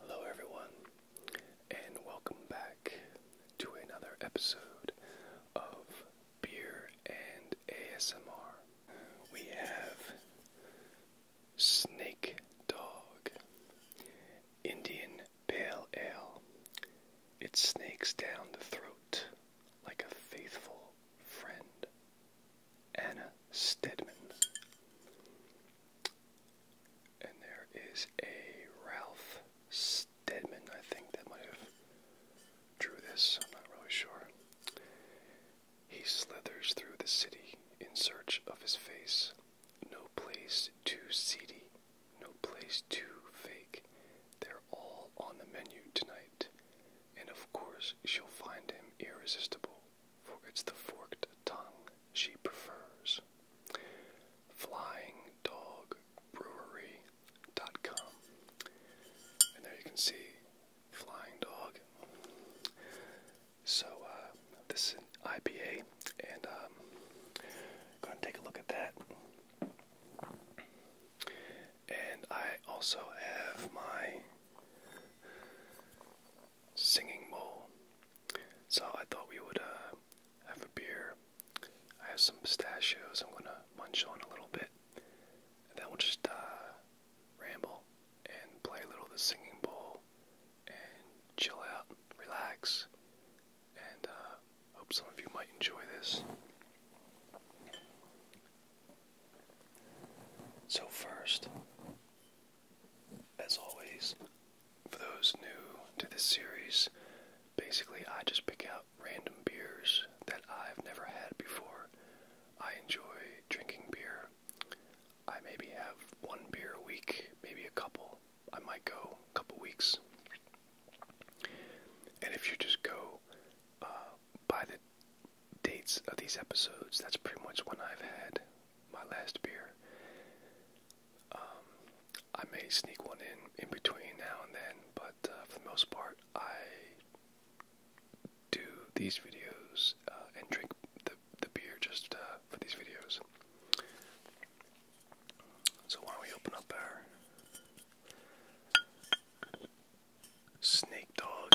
Hello, everyone, and welcome back to another episode of Beer and ASMR. We have Snake Dog Indian Pale Ale. It snakes down the throat like a faithful friend. Anna Stedman. And there is a Ralph Stedman, I think, that might have drew this. I'm not really sure. He slithers through the city in search of his face. No place too seedy, no place too fake. They're all on the menu tonight. And of course, she'll find him irresistible for it's the forked tongue she prefers. Flying Dog Brewery. Dot com, And there you can see Flying Dog. So, uh, this is IPA, and um, I'm going to take a look at that. And I also have my singing bowl. So I thought we would uh, have a beer. I have some pistachios I'm going to munch on a little bit. And then we'll just uh, ramble and play a little the singing bowl and chill out, relax. And uh, hope some of you might enjoy this. So, first, as always, for those new to this series, basically I just pick out random beers that I've never had before. I enjoy drinking beer. I maybe have one beer a week, maybe a couple. I might go a couple weeks. And if you just go uh, by the dates of these episodes, that's pretty much when I've had my last beer. Um, I may sneak one in in between now and then, but uh, for the most part, I do these videos uh, and drink the the beer just uh, for these videos. So why don't we open up our snake dog?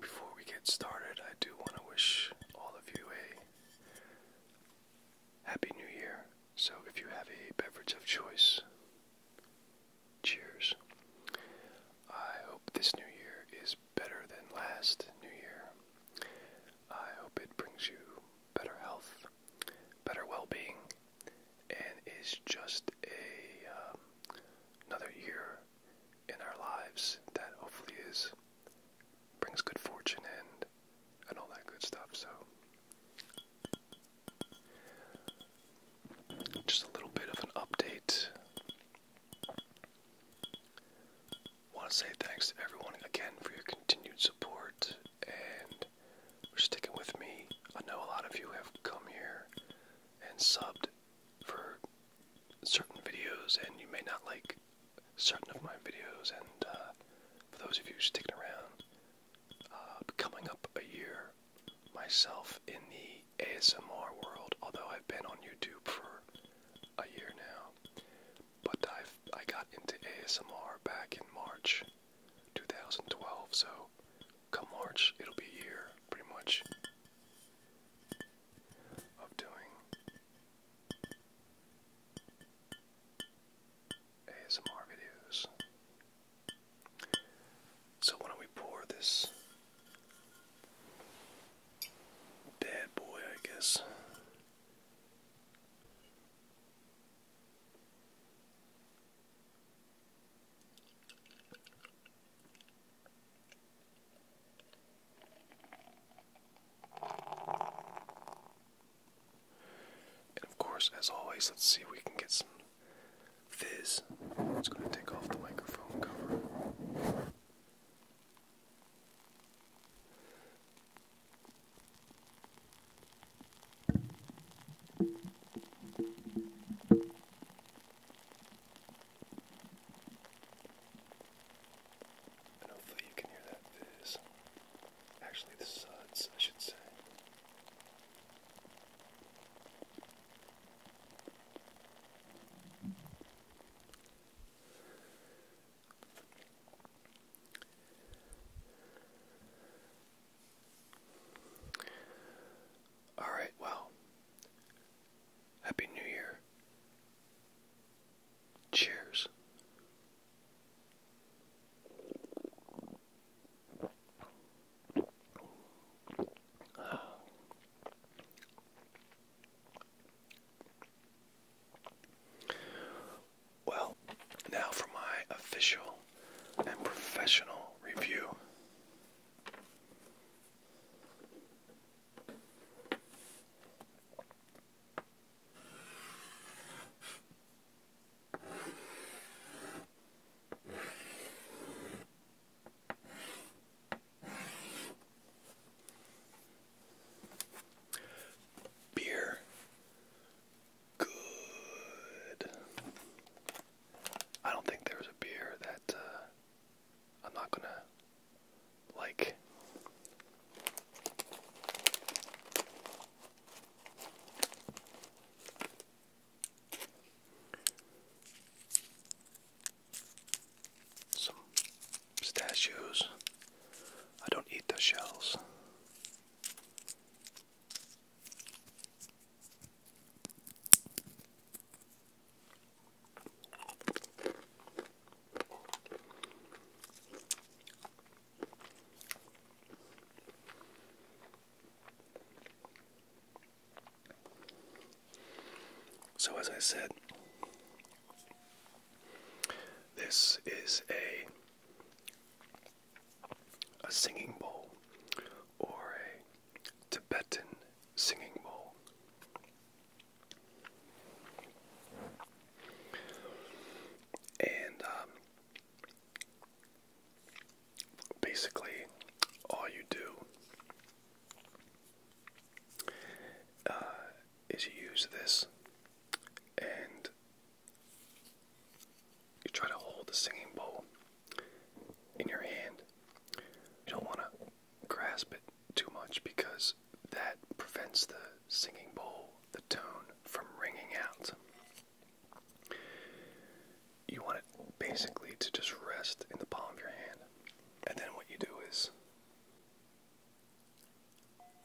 before we get started, I do want to wish all of you a Happy New Year. So, if you have a beverage of choice, cheers. I hope this new year is better than last new year. I hope it brings you better health, better well being, and is just um, another year in our lives that hopefully is brings good fortune and and all that good stuff. So, just a little bit of an update. Want to say thanks to everyone again for your continued support and for sticking with me. I know a lot of you have come here and subbed for certain videos, and you may not like certain of my videos. And uh, for those of you sticking around, uh, coming up a year myself in the ASMR world, although I've been on YouTube for a year now, but I've I got into ASMR back in March 2012, so come March, it'll be a year, pretty much, of doing ASMR videos. So why don't we pour this bad boy, I guess. And of course, as always, let's see if we can get some fizz. It's going to take off the microphone cover hopefully you can hear that fizz. Actually, the suds, I should say. Alright, well. Happy New Year. Cheers. Well, now for my official and professional review. Beer good. I don't think there's a beer that uh, I'm not gonna like. Some pistachios. I don't eat the shells. So, as I said, this is a a singing bowl or a Tibetan singing bowl. And um, basically, all you do uh, is use this and you try to hold the singing bowl in your hand. You don't want to grasp it too much because that prevents the singing bowl, the tone, from ringing out. You want it basically to just rest in the palm of your hand. And then what you do is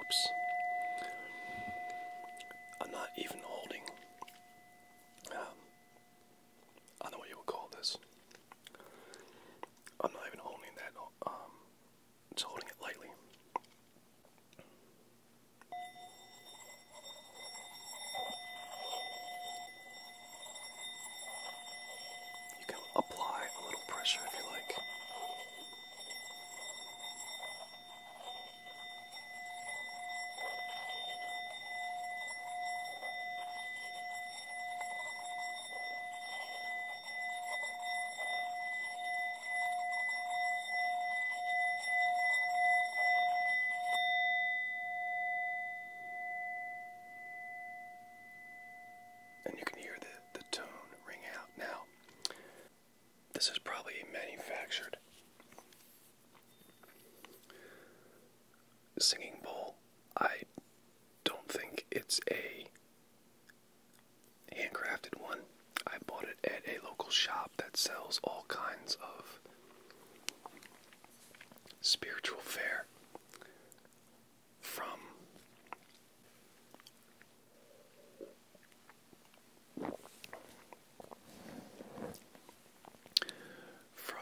Oops. I'm not even holding. Um, I know what you would call this. I'm not even holding that. Um, just holding it lightly. You can apply a little pressure if you like and you can hear the, the tone ring out. Now, this is probably a manufactured singing bowl. I don't think it's a handcrafted one. I bought it at a local shop that sells all kinds of spiritual fare from. From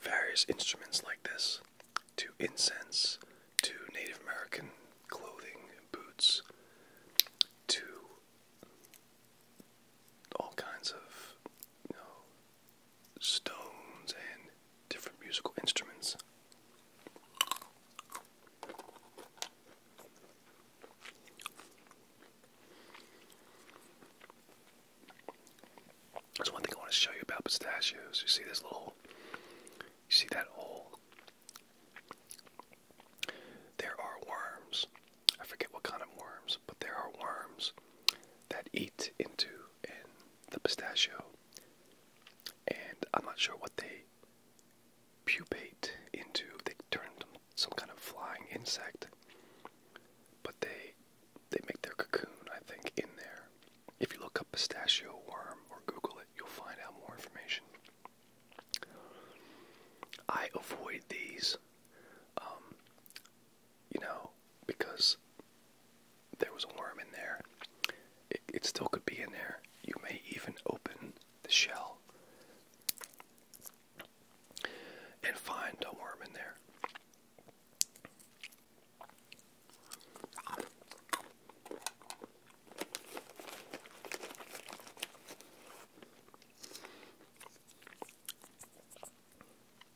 various instruments like this, to incense, to Native American clothing and boots, to all kinds of stones and different musical instruments. There's one thing I want to show you about pistachios. You see this little, you see that hole? There are worms. I forget what kind of worms, but there are worms that eat into the pistachio, and I'm not sure what they pupate into. They turn some kind of flying insect, but they they make their cocoon, I think, in there. If you look up pistachio worm or Google it, you'll find out more information. I avoid these. Um, you know, because there was a worm in there. It, it still could be in there. You may even open the shell and find a worm in there.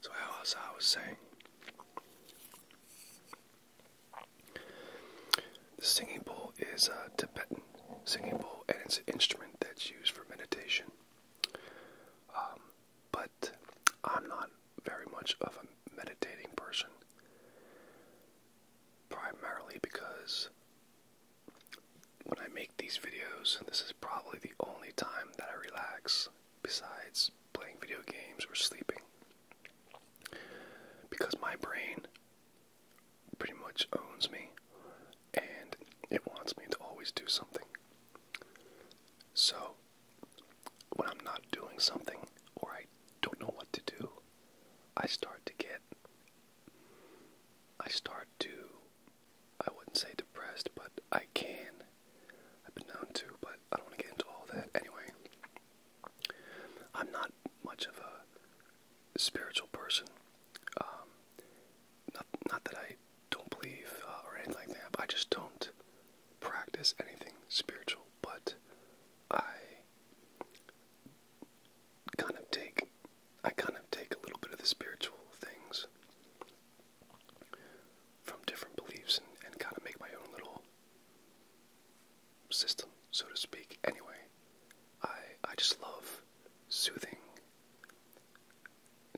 So, as I was saying, the singing bowl is a Tibetan singing bowl, and it's an instrument that's used for meditation. Um, but I'm not very much of a meditating person, primarily because when I make these videos, this is probably the only time that I relax besides playing video games or sleeping. Because my brain pretty much owns me and it wants me to always do something. So, when I'm not doing something or I don't know what to do, I start to get. I start to I wouldn't say depressed, but I can. I've been known to, but I don't want to get into all that. Anyway, I'm not much of a spiritual person. Um, not, that I don't believe uh, or anything like that, but I just don't practice anything spiritual. But I kind of take I kind of take a little bit of the spiritual things from different beliefs and, kind of make my own little system, so to speak. Anyway, I I just love soothing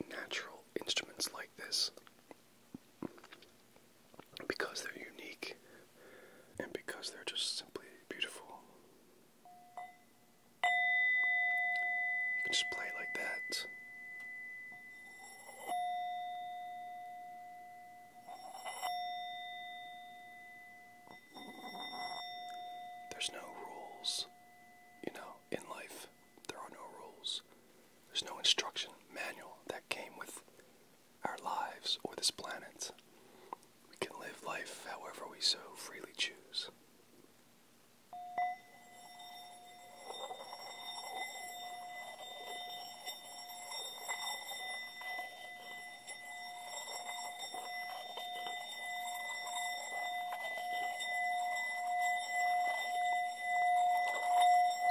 natural instruments like this because they're unique and because they're just simply beautiful. You can just play like that. There's no rules, you know, in life. There are no rules. There's no instruction manual that came with our lives or this planet. We can live life however we so freely choose.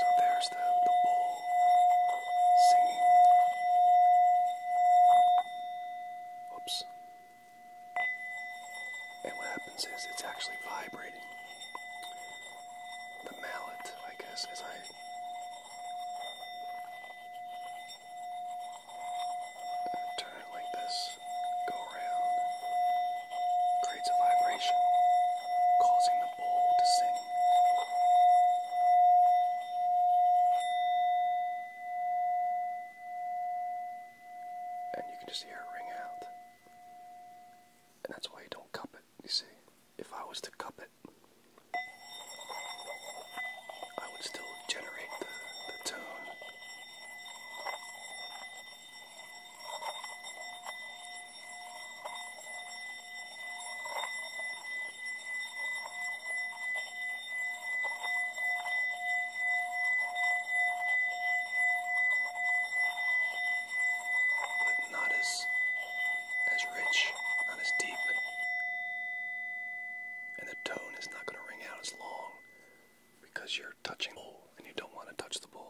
So there's the, the bull singing. Oops. And what happens is it's actually vibrating. The mallet, I guess, as I turn it like this, go around, creates a vibration, causing the bowl to sing. And you can just hear it ring out. And that's why you don't cup it, you see. If I was to cup it, I would still generate the, the tone but not as as rich, not as deep. And the tone is not going to ring out as long because you're touching the bowl and you don't want to touch the bowl.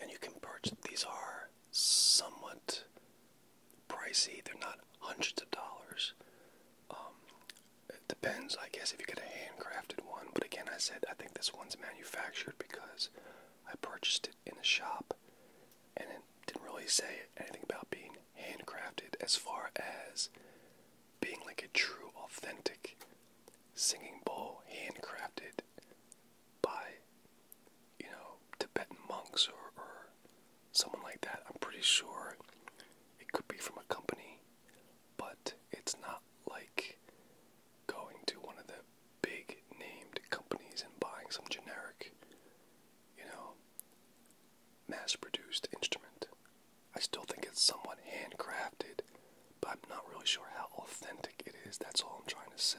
And you can perch. These are somewhat pricey. They're not hundreds of dollars. Um, it depends, I guess, if you get a handcrafted one. But again, I said I think this one's manufactured because I purchased it in a shop, and it didn't really say anything about being handcrafted as far as being like a true, authentic singing bowl handcrafted by, you know, Tibetan monks or someone like that. I'm pretty sure it could be from a company, but it's not like going to one of the big named companies and buying some generic, you know, mass produced instrument. I still think it's somewhat handcrafted, but I'm not really sure how authentic it is. That's all I'm trying to say.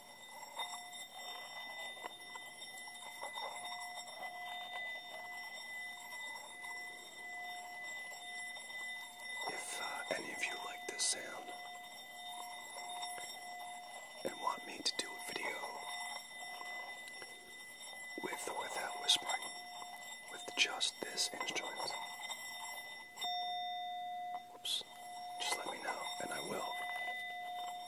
If uh, any of you like this sound and want me to do a video with or without whispering, with just this instrument, Oops. Just let me know, and I will.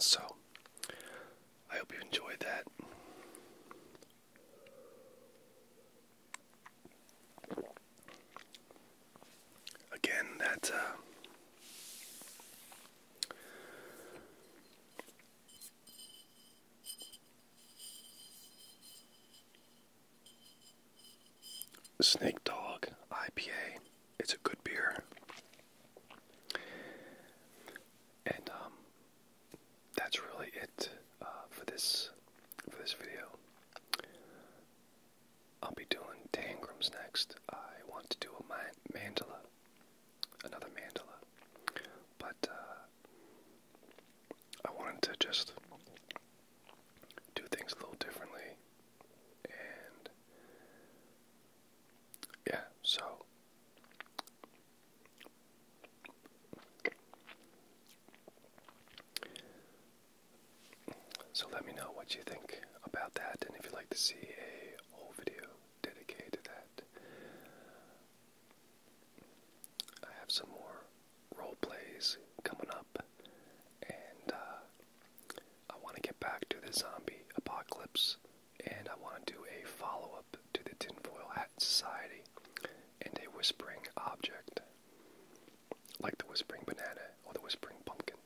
So, I hope you enjoyed that. Again, that uh, Snake Dog IPA, it's a good beer. And um, that's really it. Uh, for this for this video. I'll be doing tangrams next. I want to do a mandala, another mandala, but uh, I wanted to just do things a little differently, and yeah, so. So let me know what you think about that, and if you'd like to see a whole video dedicated to that. I have some more role plays coming up, and uh, I want to get back to the zombie apocalypse, and I want to do a follow up to the Tinfoil Hat Society and a Whispering Object like the whispering banana or the whispering pumpkin.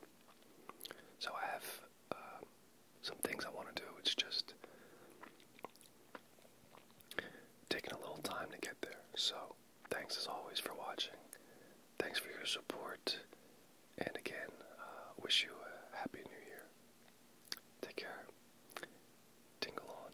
So I have um, some things I want to do. It's just taking a little time to get there. So thanks as always for watching. Thanks for your support. And again, uh, wish you a happy new year. Take care. Tingle on.